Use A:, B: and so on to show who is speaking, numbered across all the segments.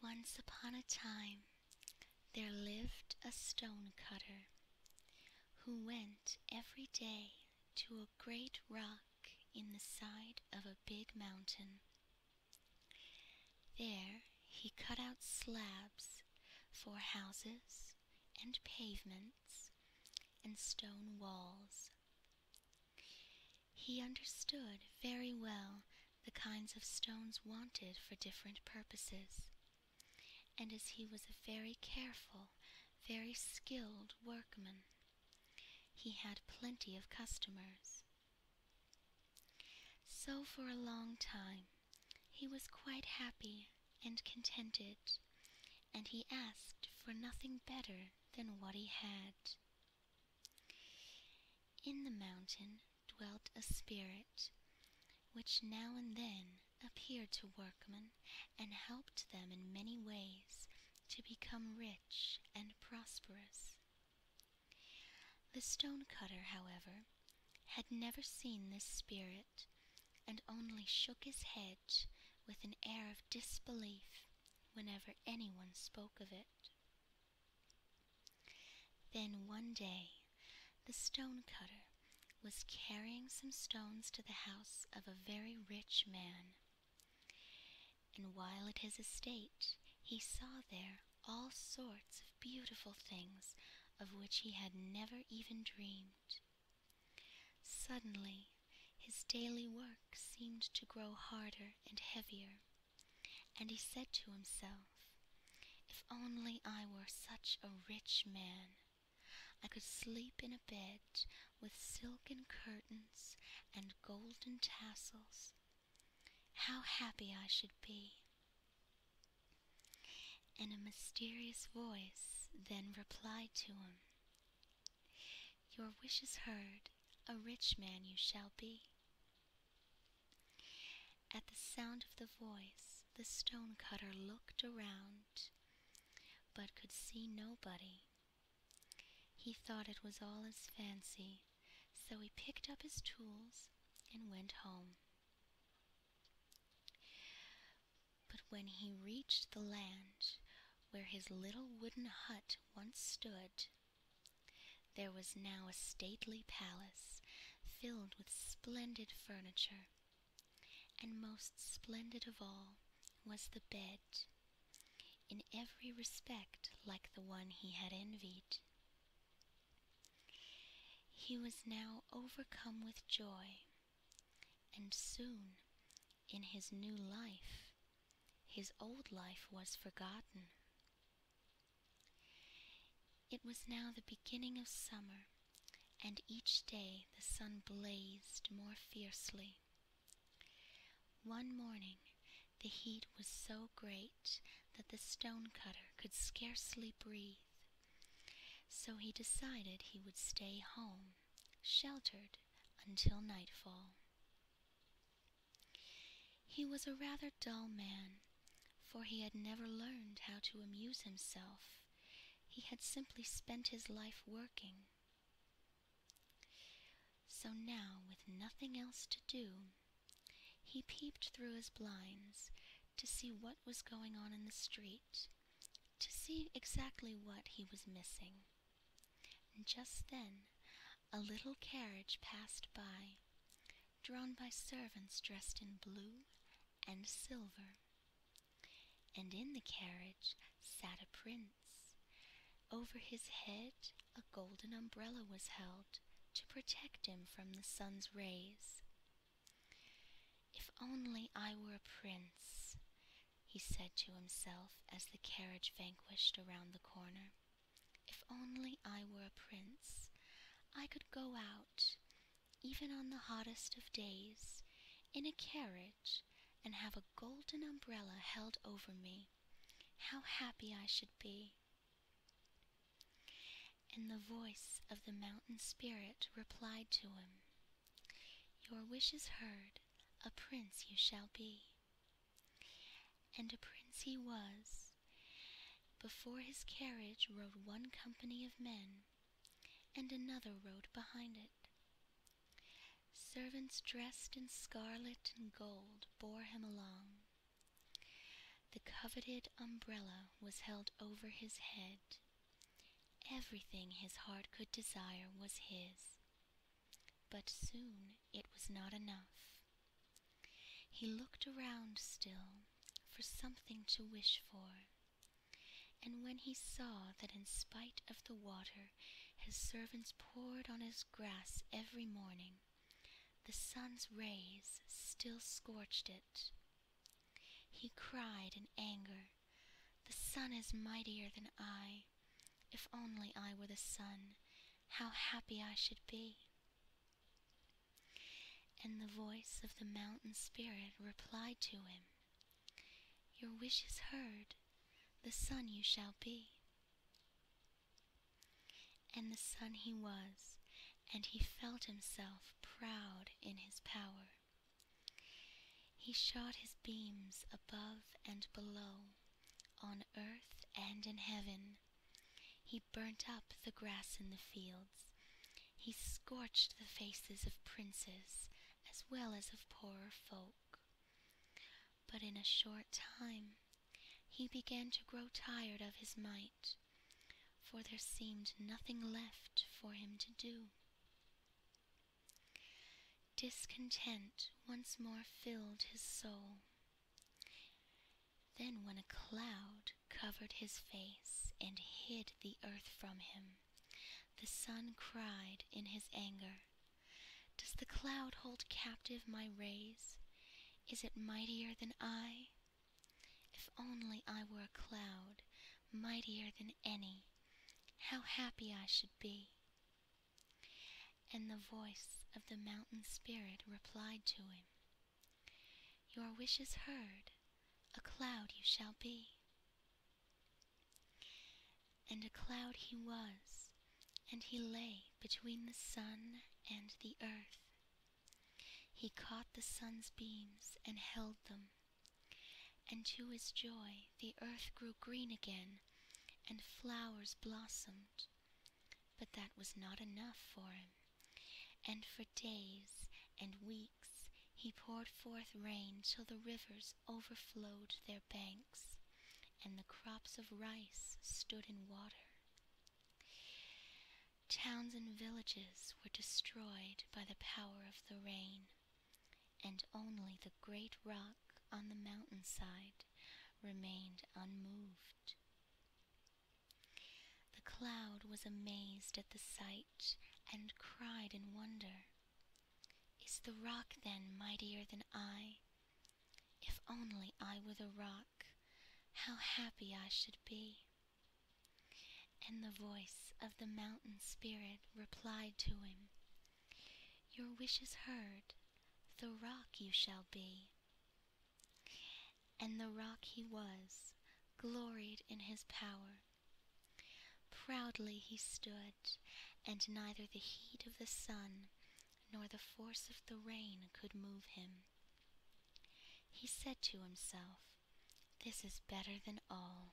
A: Once upon a time there lived a stone cutter who went every day to a great rock in the side of a big mountain. There he cut out slabs for houses and pavements and stone walls. He understood very well the kinds of stones wanted for different purposes, and as he was a very careful, very skilled workman, he had plenty of customers. So for a long time he was quite happy and contented, and he asked for nothing better than what he had. In the mountain dwelt a spirit which now and then appeared to workmen and helped them in many ways to become rich and prosperous. The stonecutter, however, had never seen this spirit, and only shook his head with an air of disbelief whenever anyone spoke of it. Then one day the stonecutter was carrying some stones to the house of a very rich man. And while at his estate, he saw there all sorts of beautiful things of which he had never even dreamed. Suddenly, his daily work seemed to grow harder and heavier, and he said to himself, If only I were such a rich man! I could sleep in a bed with silken curtains and golden tassels. How happy I should be! And a mysterious voice then replied to him. Your wish is heard, a rich man you shall be. At the sound of the voice, the stonecutter looked around, but could see nobody. He thought it was all his fancy, so he picked up his tools and went home. But when he reached the land where his little wooden hut once stood, there was now a stately palace filled with splendid furniture, and most splendid of all was the bed, in every respect like the one he had envied. He was now overcome with joy, and soon in his new life. His old life was forgotten. It was now the beginning of summer, and each day the sun blazed more fiercely. One morning the heat was so great that the stonecutter could scarcely breathe. So he decided he would stay home, sheltered, until nightfall. He was a rather dull man, for he had never learned how to amuse himself. He had simply spent his life working. So now, with nothing else to do, he peeped through his blinds to see what was going on in the street, to see exactly what he was missing. And just then a little carriage passed by, drawn by servants dressed in blue and silver. And in the carriage sat a prince. Over his head a golden umbrella was held to protect him from the sun's rays. If only I were a prince, he said to himself as the carriage vanished around the corner. If only I were a prince, I could go out, even on the hottest of days, in a carriage and have a golden umbrella held over me. How happy I should be! And the voice of the mountain spirit replied to him, Your wish is heard, a prince you shall be. And a prince he was. Before his carriage rode one company of men, and another rode behind it. Servants dressed in scarlet and gold bore him along. The coveted umbrella was held over his head. Everything his heart could desire was his. But soon it was not enough. He looked around still for something to wish for, and when he saw that in spite of the water his servants poured on his grass every morning, the sun's rays still scorched it. He cried in anger, The sun is mightier than I if only I were the sun, how happy I should be. And the voice of the mountain spirit replied to him, Your wish is heard, the sun you shall be. And the sun he was, and he felt himself proud in his power. He shot his beams above and below, on earth and in heaven. He burnt up the grass in the fields. He scorched the faces of princes as well as of poorer folk. But in a short time he began to grow tired of his might, for there seemed nothing left for him to do. Discontent once more filled his soul. Then, when a cloud covered his face and hid the earth from him, the sun cried in his anger, Does the cloud hold captive my rays? Is it mightier than I? If only I were a cloud, mightier than any, how happy I should be! And the voice of the mountain spirit replied to him, Your wish is heard, a cloud you shall be. And a cloud he was, and he lay between the sun and the earth. He caught the sun's beams and held them, and to his joy the earth grew green again and flowers blossomed. But that was not enough for him, and for days and weeks he poured forth rain till the rivers overflowed their banks, and the crops of rice stood in water. Towns and villages were destroyed by the power of the rain, and only the great rock on the mountain side remained unmoved. The cloud was amazed at the sight and cried in wonder, Is the rock then mightier than I? If only I were the rock, how happy I should be. And the voice of the mountain spirit replied to him, Your wish is heard, the rock you shall be. And the rock he was, gloried in his power. Proudly he stood, and neither the heat of the sun nor the force of the rain could move him. He said to himself, This is better than all.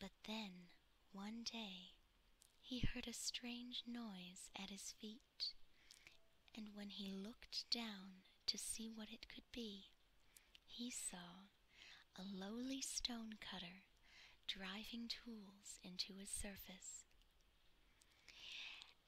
A: But then, one day, he heard a strange noise at his feet, and when he looked down to see what it could be, he saw a lowly stone cutter driving tools into his surface.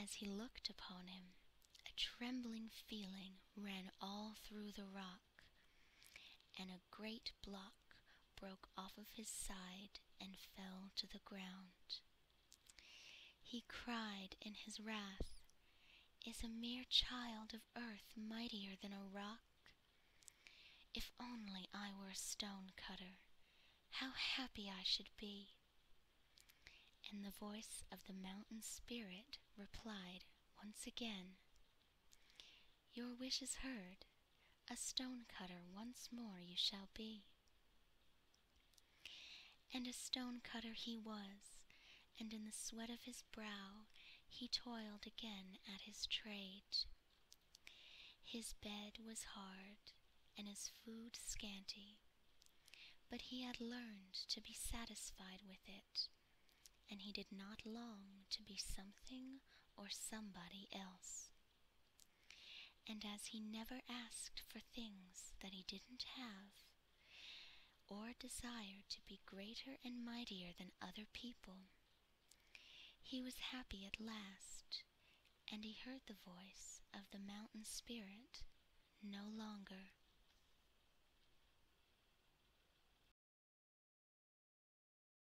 A: As he looked upon him, a trembling feeling ran all through the rock, and a great block broke off of his side and fell to the ground. He cried in his wrath, Is a mere child of earth mightier than a rock? If only I were a stone cutter, how happy I should be! And the voice of the mountain spirit replied once again, your wish is heard. A stone-cutter once more you shall be. And a stone-cutter he was, and in the sweat of his brow he toiled again at his trade. His bed was hard, and his food scanty, but he had learned to be satisfied with it, and he did not long to be something or somebody else. And as he never asked for things that he didn't have, or desired to be greater and mightier than other people, he was happy at last, and he heard the voice of the mountain spirit no longer.